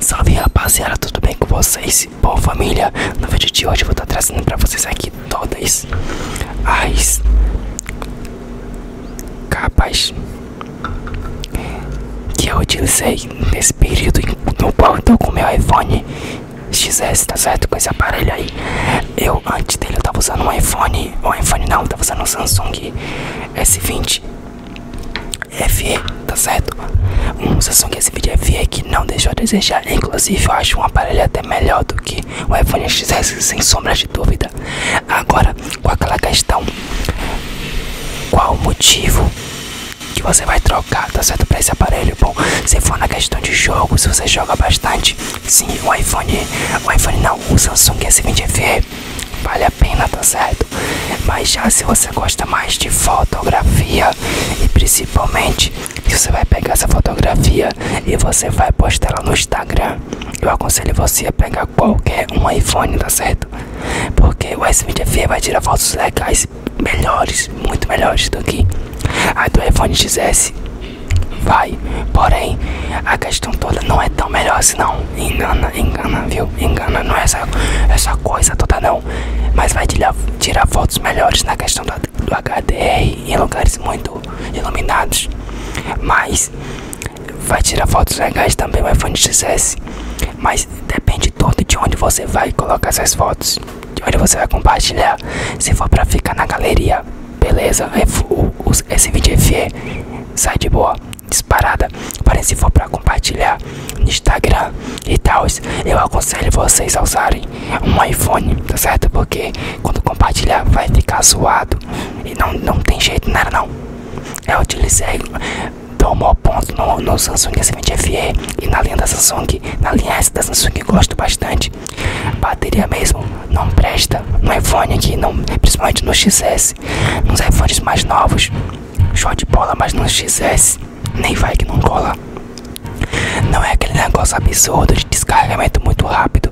Salve rapaziada, tudo bem com vocês? Bom família, no vídeo de hoje vou estar tá trazendo para vocês aqui todas as capas que eu utilizei nesse período no qual eu com meu iPhone XS, tá certo? Com esse aparelho aí. Eu, antes dele, eu tava usando um iPhone, um iPhone não, eu tava usando um Samsung S20 FE, tá certo? Um Samsung S20 FE que não deixou a desejar. Inclusive, eu acho um aparelho até melhor do que o iPhone XS, sem sombra de dúvida. Agora, com aquela questão, qual o motivo que você vai trocar, tá certo? Pra esse aparelho, bom, se for na questão de jogo, se você joga bastante, sim, o iPhone, o iPhone não, o Samsung S20 FE vale a pena, tá certo? Mas já se você gosta mais de fotografia e principalmente se você vai pegar essa fotografia e você vai postar ela no Instagram, eu aconselho você a pegar qualquer um iPhone, tá certo? Porque o S20 vai tirar fotos legais, melhores, muito melhores do que a do iPhone XS. Vai, porém, a questão toda não é tão melhor assim não. Engana, engana, viu? Engana, não é essa, é essa coisa toda não. Mas vai tirar, fotos melhores na questão do, do HDR em lugares muito iluminados. Mas vai tirar fotos legais também o iPhone XS, mas depende todo de onde você vai colocar essas fotos, de onde você vai compartilhar. Se for para ficar na galeria, beleza, é Esse vídeo é feio, sai de boa, disparada. Porém, se for para compartilhar no Instagram e tal, eu aconselho vocês a usarem um iPhone, tá certo? Porque quando compartilhar vai ficar zoado e não, não tem jeito, não era não. Eu utilizei, tomou ponto no, no Samsung S20 FE e na linha da Samsung, na linha S da Samsung gosto bastante. Bateria mesmo não presta no iPhone aqui, não, principalmente no XS, nos iPhones mais novos. Show de bola, mas no XS nem vai que não cola. Não é aquele negócio absurdo de descarregamento muito rápido.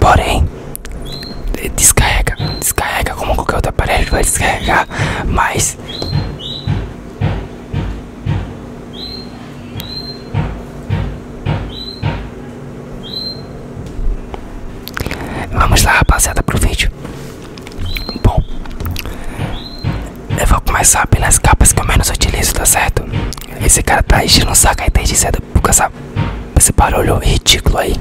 Porém, descarrega, descarrega como qualquer outro aparelho vai descarregar, mas vamos lá, rapaziada, pro vídeo. Bom, eu vou começar pelas capas que eu menos utilizo, tá certo? Esse cara tá enchendo o saco aí desde cedo por causa, esse barulho ridículo aí.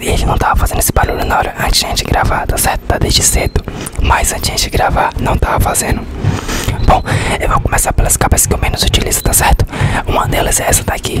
Ele não tava fazendo esse barulho na hora antes de gravar, tá certo? Tá desde cedo. Mas antes de gravar, não tava fazendo. Bom, eu vou começar pelas capas que eu menos utilizo, tá certo? Uma delas é essa daqui.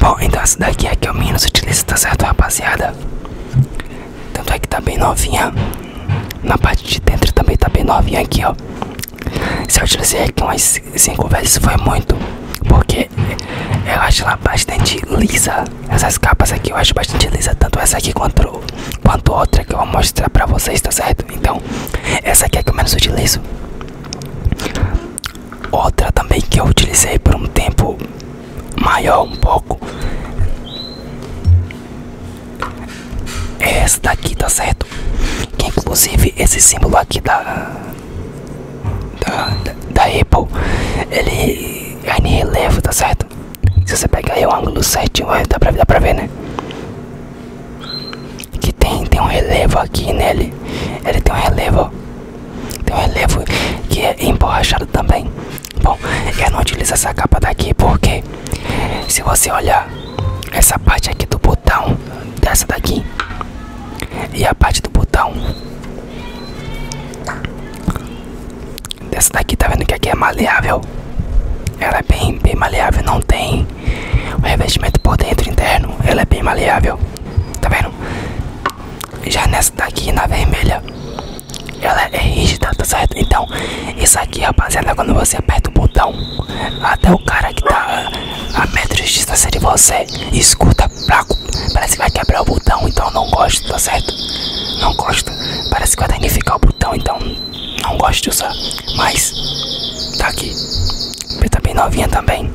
Bom, então essa daqui é que eu menos utilizo, tá certo, rapaziada? Tanto é que tá bem novinha. Na parte de dentro também tá bem novinha aqui, ó. Se eu utilizei aqui umas 5 isso foi muito. Porque eu acho ela bastante lisa. Essas capas aqui eu acho bastante lisa. Tanto essa aqui quanto, quanto outra que eu vou mostrar pra vocês, tá certo? Então, então, essa aqui é que eu menos utilizo. Outra também que eu utilizei por um tempo maior, um pouco. É essa daqui, tá certo? Que inclusive esse símbolo aqui da. Da, da Apple, ele é em relevo, tá certo? Se você pegar aí o ângulo certinho, dá pra, dá pra ver, né? Que tem, tem um relevo aqui nele. Ele tem um relevo. Tem um relevo que é emborrachado também. Bom, eu não utilizo essa capa daqui porque se você olhar essa parte aqui do botão dessa daqui e a parte do botão dessa daqui, tá vendo que aqui é maleável? Ela é bem, bem maleável, não tem o revestimento por dentro interno, ela é bem maleável, tá vendo? Já nessa daqui, na vermelha, ela é rígida, tá certo? Então, isso aqui, rapaziada, quando você aperta o botão, até o cara que tá a metros de distância de você escuta, parece que vai quebrar o botão, então não gosto, tá certo? Não gosto, parece que vai danificar o botão, então não gosto de usar, mas tá aqui. Tá bem novinha também.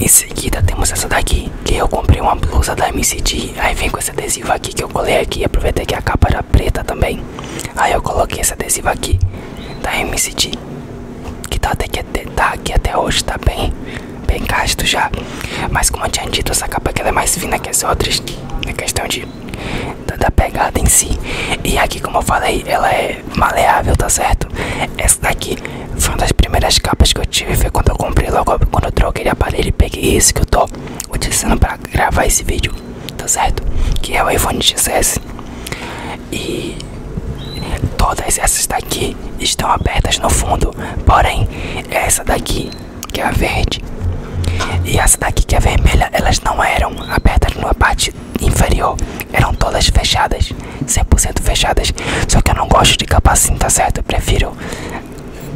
Em seguida temos essa daqui, que eu comprei uma blusa da MCD, aí vem com esse adesivo aqui que eu colei aqui, aproveitei que a capa era preta também, aí eu coloquei esse adesivo aqui da MCD, que tá, até, que é tá aqui até hoje, tá bem bem gasto já. Mas como eu tinha dito, essa capa aqui ela é mais fina que as outras. Na questão de da, pegada em si. E aqui, como eu falei, ela é maleável, tá certo? Essa daqui foi uma das primeiras capas que eu tive. Foi quando eu comprei logo quando eu troquei de aparelho e peguei esse que eu tô utilizando para gravar esse vídeo, tá certo? Que é o iPhone XS. E todas essas daqui estão abertas no fundo, porém essa daqui que é a verde, e essa daqui que é vermelha, elas não eram abertas numa parte inferior, eram todas fechadas, 100% fechadas. Só que eu não gosto de capa assim, tá certo? prefiro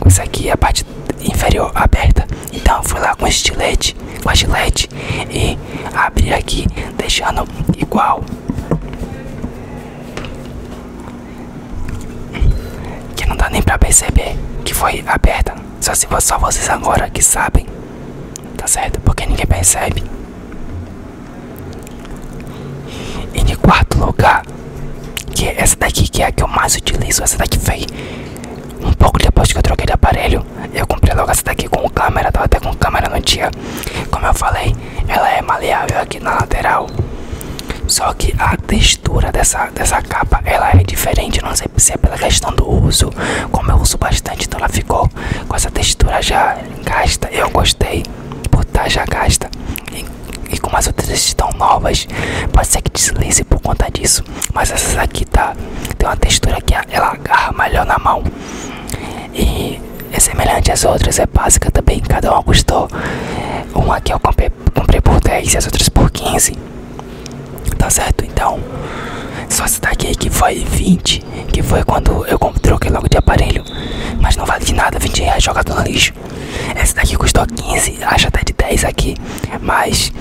isso aqui, a parte inferior aberta. Então eu fui lá com estilete, com a estilete e abrir aqui, deixando igual que não dá nem pra perceber que foi aberta. Só se só vocês agora que sabem, tá certo? Porque ninguém percebe. E de quarto lugar, que é essa daqui que é a que eu mais utilizo, essa daqui fez um pouco depois que eu troquei de aparelho, eu comprei logo essa daqui com câmera, tava até com câmera no dia. Como eu falei, ela é maleável aqui na lateral. Só que a textura dessa, dessa capa ela é diferente, não sei se é pela questão do uso, como eu uso bastante, então ela ficou com essa textura já gasta. Eu gostei por estar tá já gasta. E, e como as outras estão novas, pode ser que deslize por conta disso. Mas essas aqui tá tem uma textura que ela agarra melhor na mão. E é semelhante às outras, é básica também, cada uma gostou um aqui eu comprei, comprei por 10 e as outras por 15. Tá certo? Então, só esse daqui que foi 20, que foi quando eu troquei logo de aparelho. Mas não vale de nada, 20 reais jogado no lixo. Esse daqui custou 15, acho até de 10 aqui, mas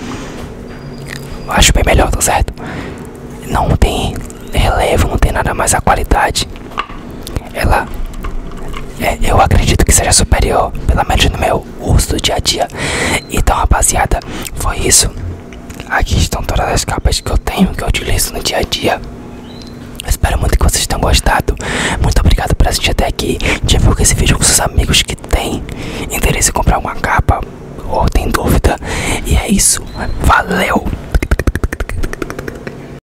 acho bem melhor, tá certo? Não tem relevo, não tem nada mais a qualidade ela é, eu acredito que seja superior, pelo menos no meu uso do dia a dia. Então, rapaziada, foi isso. Aqui estão todas as capas que eu tenho, que eu utilizo no dia a dia. Espero muito que vocês tenham gostado. Muito obrigado por assistir até aqui. Divulga esse vídeo com seus amigos que têm interesse em comprar uma capa ou tem dúvida. E é isso. Valeu!